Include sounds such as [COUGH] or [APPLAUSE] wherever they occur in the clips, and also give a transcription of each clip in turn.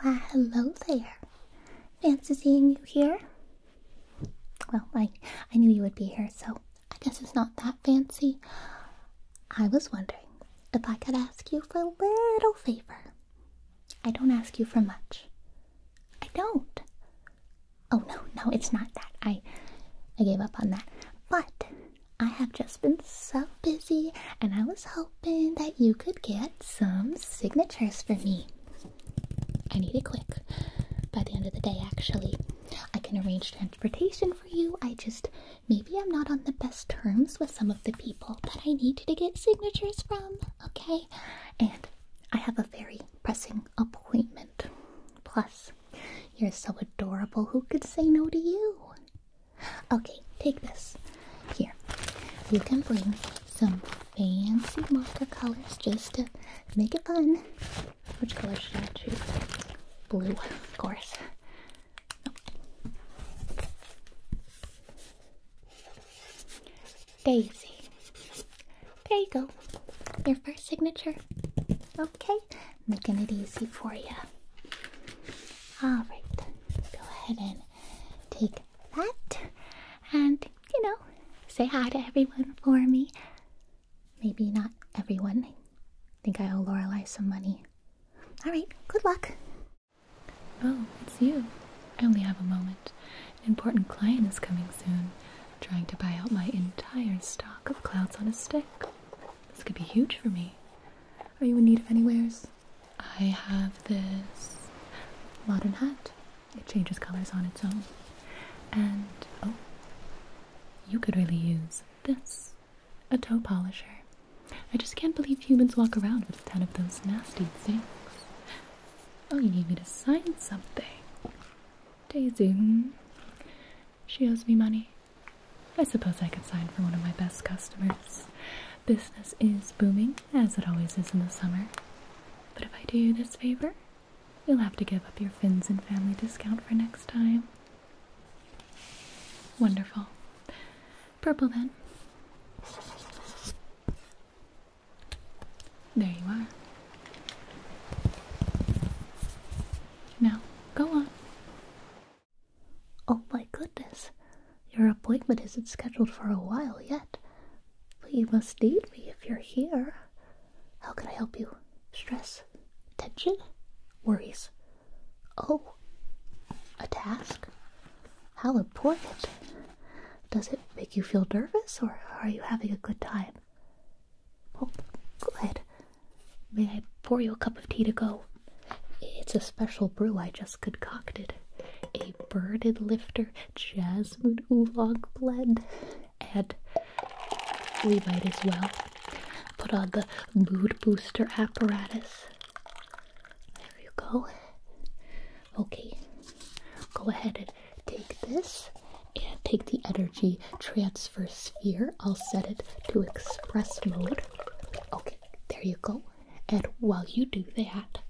Why, hello there. Fancy seeing you here? Well, I, I knew you would be here, so I guess it's not that fancy. I was wondering if I could ask you for a little favor. I don't ask you for much. I don't. Oh, no, no, it's not that. I, I gave up on that. But I have just been so busy, and I was hoping hoping that you could get some signatures for me. I need it quick. By the end of the day, actually. I can arrange transportation for you. I just, maybe I'm not on the best terms with some of the people that I need to get signatures from, okay? And I have a very pressing appointment. Plus, you're so adorable, who could say no to you? Okay, take this. Here, you can bring some fancy marker colors just to make it fun. Which color should I choose? Blue, of course. Daisy. There you go. Your first signature. Okay, making it easy for you. All right, go ahead and take that and, you know, say hi to everyone for me. Maybe not everyone. think I owe Lorelei some money. All right, good luck. Oh, it's you. I only have a moment. An important client is coming soon, trying to buy out my entire stock of clouds on a stick. This could be huge for me. Are you in need of any wares? I have this modern hat. It changes colors on its own. And oh, you could really use this a toe polisher. I just can't believe humans walk around with 10 of those nasty things. Oh, you need me to sign something. Daisy. She owes me money. I suppose I could sign for one of my best customers. Business is booming, as it always is in the summer. But if I do this favor, you'll have to give up your fins and family discount for next time. Wonderful. Purple then. There you are. Now, go on. Oh my goodness, your appointment isn't scheduled for a while yet, but you must need me if you're here. How can I help you? Stress? Tension? Worries? Oh, a task? How important? Does it make you feel nervous or are you having a good time? Oh, good. May I pour you a cup of tea to go? It's a special brew I just concocted. A birded lifter jasmine oolong blend. And we might as well put on the mood booster apparatus. There you go. Okay, go ahead and take this and take the energy transfer sphere, I'll set it to express mode. Okay, there you go. And while you do that,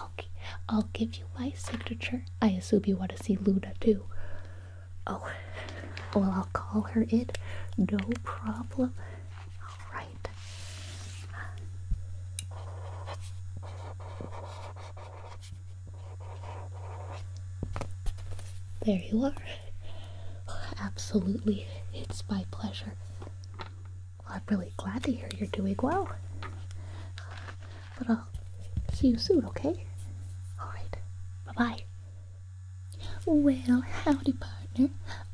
okay, I'll give you my signature. I assume you want to see Luda too. Oh, well, I'll call her in. No problem. All right. There you are. Absolutely, it's my pleasure. I'm really glad to hear you're doing well. But I'll see you soon, okay? Alright, bye bye. Well, howdy, partner.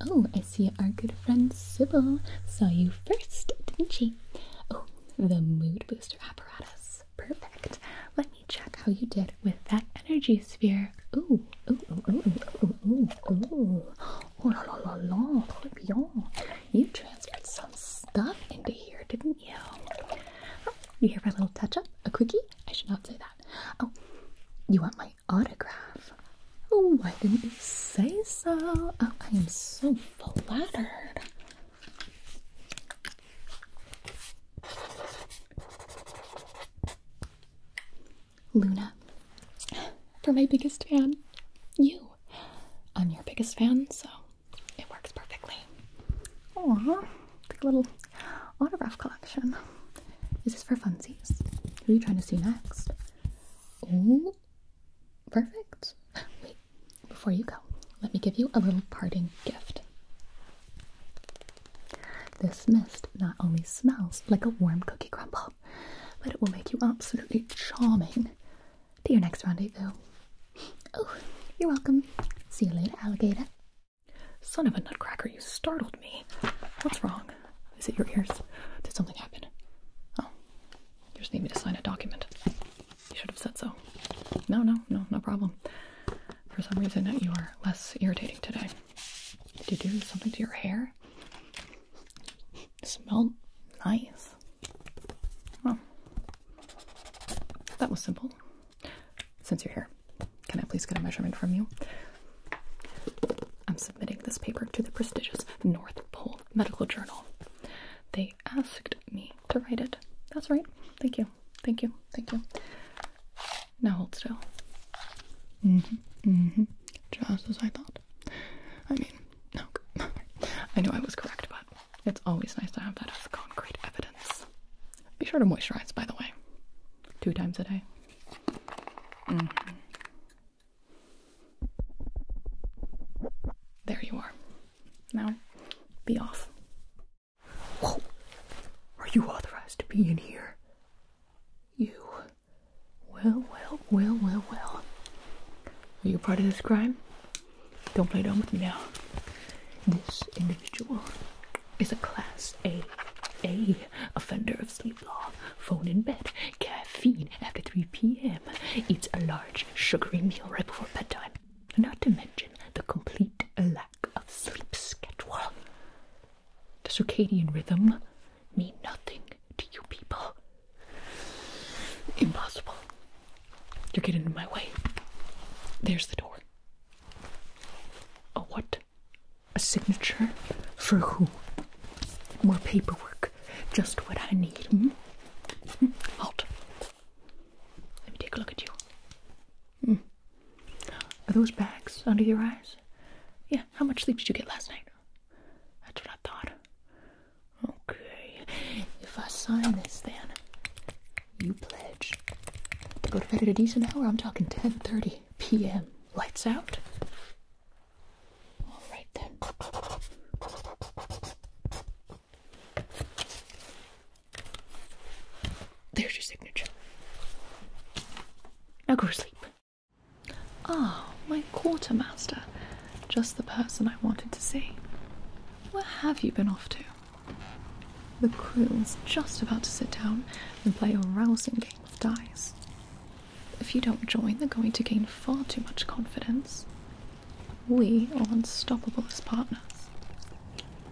Oh, I see our good friend Sybil saw you first, didn't she? Oh, the mood booster apparatus. Yes, perfect. Let me check how you did with that energy sphere. Ooh, ooh, ooh, ooh, ooh, ooh, ooh, ooh. Oh la la la la, bien. You transferred some stuff into here, didn't you? Oh, you here for a little touch-up? A quickie? I should not say that. Oh, you want my autograph? Oh, why didn't you say so? Oh, I am so flattered. Luna, for my biggest fan, you. I'm your biggest fan, so it works perfectly. Aww, like a little autograph collection. Is this for funsies? Who are you trying to see next? Oh, perfect. [LAUGHS] Wait, before you let me give you a little parting gift. This mist not only smells like a warm cookie crumble, but it will make you absolutely charming to your next rendezvous. Oh, you're welcome. See you later, alligator. Son of a nutcracker, you startled me. What's wrong? Is it your ears? Did something happen? Oh, you just need me to sign a document. You should have said so. No, no, no, no problem. For some reason, you are less irritating today. Did you do something to your hair? It smelled nice. Well, that was simple. Since you're here, can I please get a measurement from you? I'm submitting this paper to the prestigious North Pole Medical Journal. They asked me to write it. That's right. Thank you. Thank you. Thank you. Now hold still. Mm-hmm. Mm-hmm. Just as I thought. I mean, no. [LAUGHS] I knew I was correct, but it's always nice to have that as concrete evidence. Be sure to moisturize, by the way. Two times a day. Mm-hmm. There you are. Now, be off. Whoa! Are you authorized to be in here? You. Well, well, well, well, well. Are you part of this crime? Don't play dumb with me now. This individual is a Class A, A offender of sleep law. Phone in bed, caffeine after 3 p.m., eats a large sugary meal right before bedtime, not to mention the complete lack of sleep schedule. The circadian rhythm mean nothing to you people. Impossible. You're getting in my way. There's the door. A what? A signature? For who? More paperwork. Just what I need. Hmm? Hm? Let me take a look at you. Hmm. Are those bags under your eyes? Yeah, how much sleep did you get last night? That's what I thought. Okay, if I sign this then, you pledge to go to bed at a decent hour. I'm talking 10.30 p.m. Lights out. All right then. There's your signature. Now go to sleep. Ah, my quartermaster. Just the person I wanted to see. Where have you been off to? The crew is just about to sit down and play a rousing game of dice. If you don't join, they're going to gain far too much confidence. We are unstoppable as partners.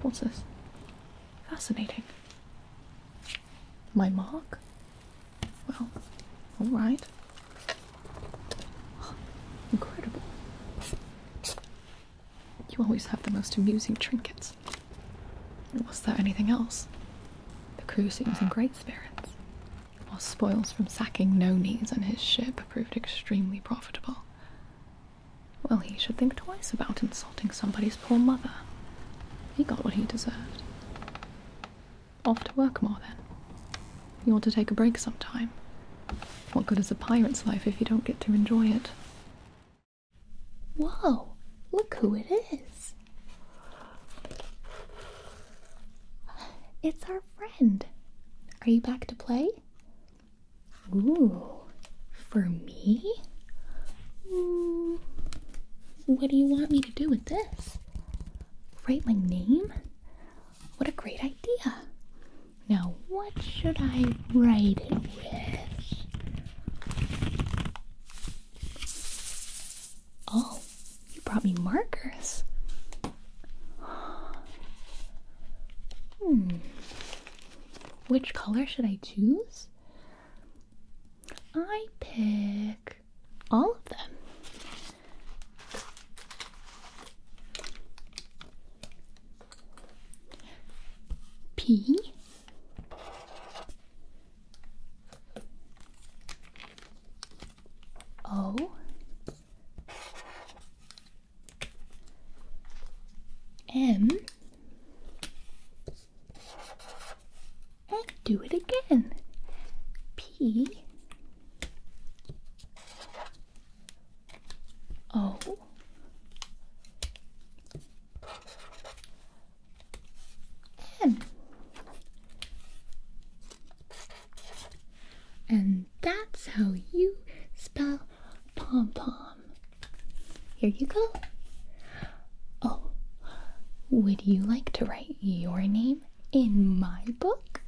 What's this? Fascinating. My mark? Well, alright. [GASPS] Incredible. You always have the most amusing trinkets. Was there anything else? The crew seems in great spirits while spoils from sacking Nones and his ship proved extremely profitable. Well, he should think twice about insulting somebody's poor mother. He got what he deserved. Off to work more then. You ought to take a break sometime. What good is a pirate's life if you don't get to enjoy it? Whoa, look who it is! It's our friend. Are you back to play? Ooh, for me? Mm, what do you want me to do with this? Write my name? What a great idea! Now, what should I write it with? Oh, you brought me markers. Hmm. Which color should I choose? I pick all of them. P O M and do it again. P O M and that's how you spell pom pom. Here you go. Oh, would you like to write your name in my book?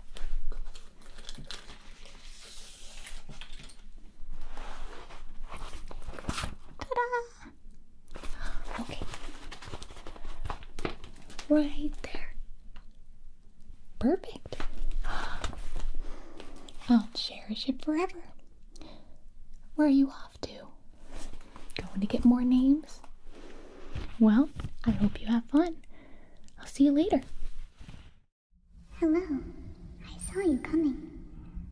Ta da! Okay. Right there. Perfect. I'll cherish it forever. Where are you off to? Going to get more names? Well, I hope you have fun. I'll see you later. Hello. I saw you coming.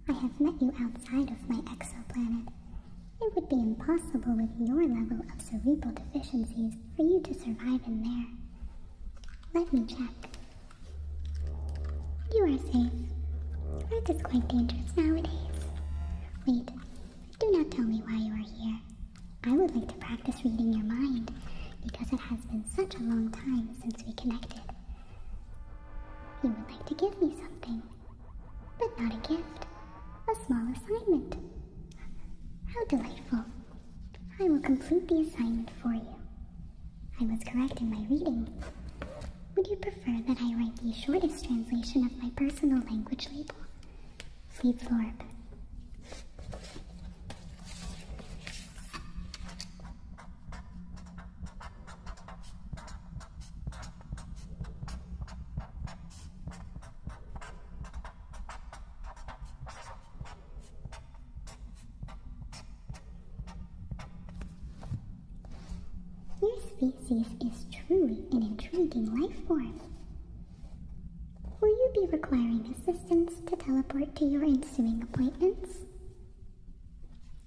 I have met you outside of my exoplanet. It would be impossible with your level of cerebral deficiencies for you to survive in there. Let me check. You are safe. Earth is quite dangerous nowadays. Wait, do not tell me why you are here. I would like to practice reading your mind because it has been such a long time since we connected. You would like to give me something. But not a gift, a small assignment. How delightful. I will complete the assignment for you. I was correct in my reading. Would you prefer that I write the shortest translation of my personal language label? Fleet Florp. Your species is truly an intriguing life form. Will you be requiring assistance to teleport to your ensuing appointments?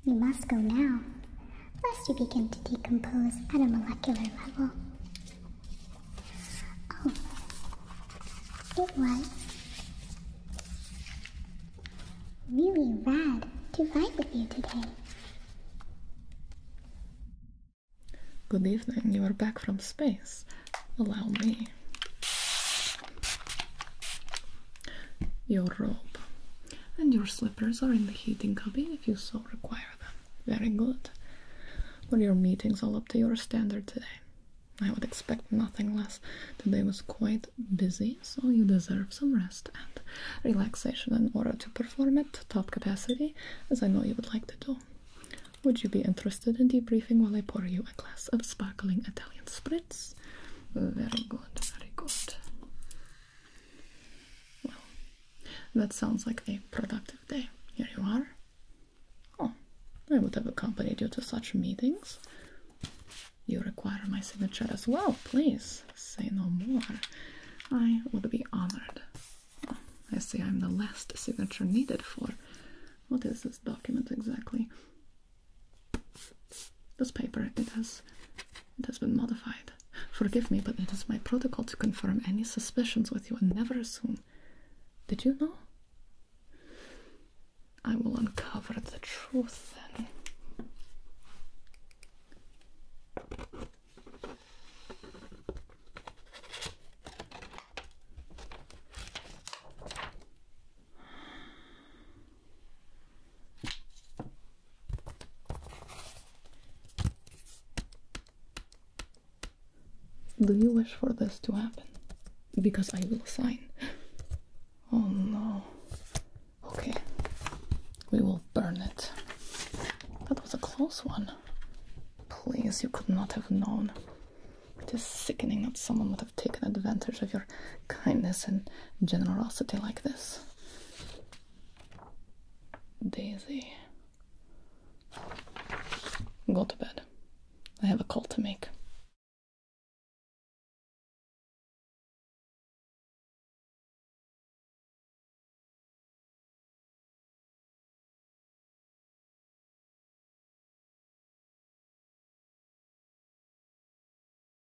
You must go now, lest you begin to decompose at a molecular level. Oh, it was really rad to write with you today. Good evening, you are back from space. Allow me. Your robe and your slippers are in the heating cabin if you so require them. Very good. Were your meetings all up to your standard today? I would expect nothing less. Today was quite busy, so you deserve some rest and relaxation in order to perform at top capacity, as I know you would like to do. Would you be interested in debriefing while I pour you a glass of sparkling Italian spritz? Very good, very good. Well, that sounds like a productive day. Here you are. Oh, I would have accompanied you to such meetings. You require my signature as well, please. Say no more. I would be honored. Oh, I see I'm the last signature needed for. What is this document exactly? This paper, it has, it has been modified. Forgive me, but it is my protocol to confirm any suspicions with you and never assume. Did you know? I will uncover the truth then. Do you wish for this to happen? Because I will sign. Oh no. Okay. We will burn it. That was a close one. Please, you could not have known. It is sickening that someone would have taken advantage of your kindness and generosity like this. Daisy. Go to bed. I have a call to make.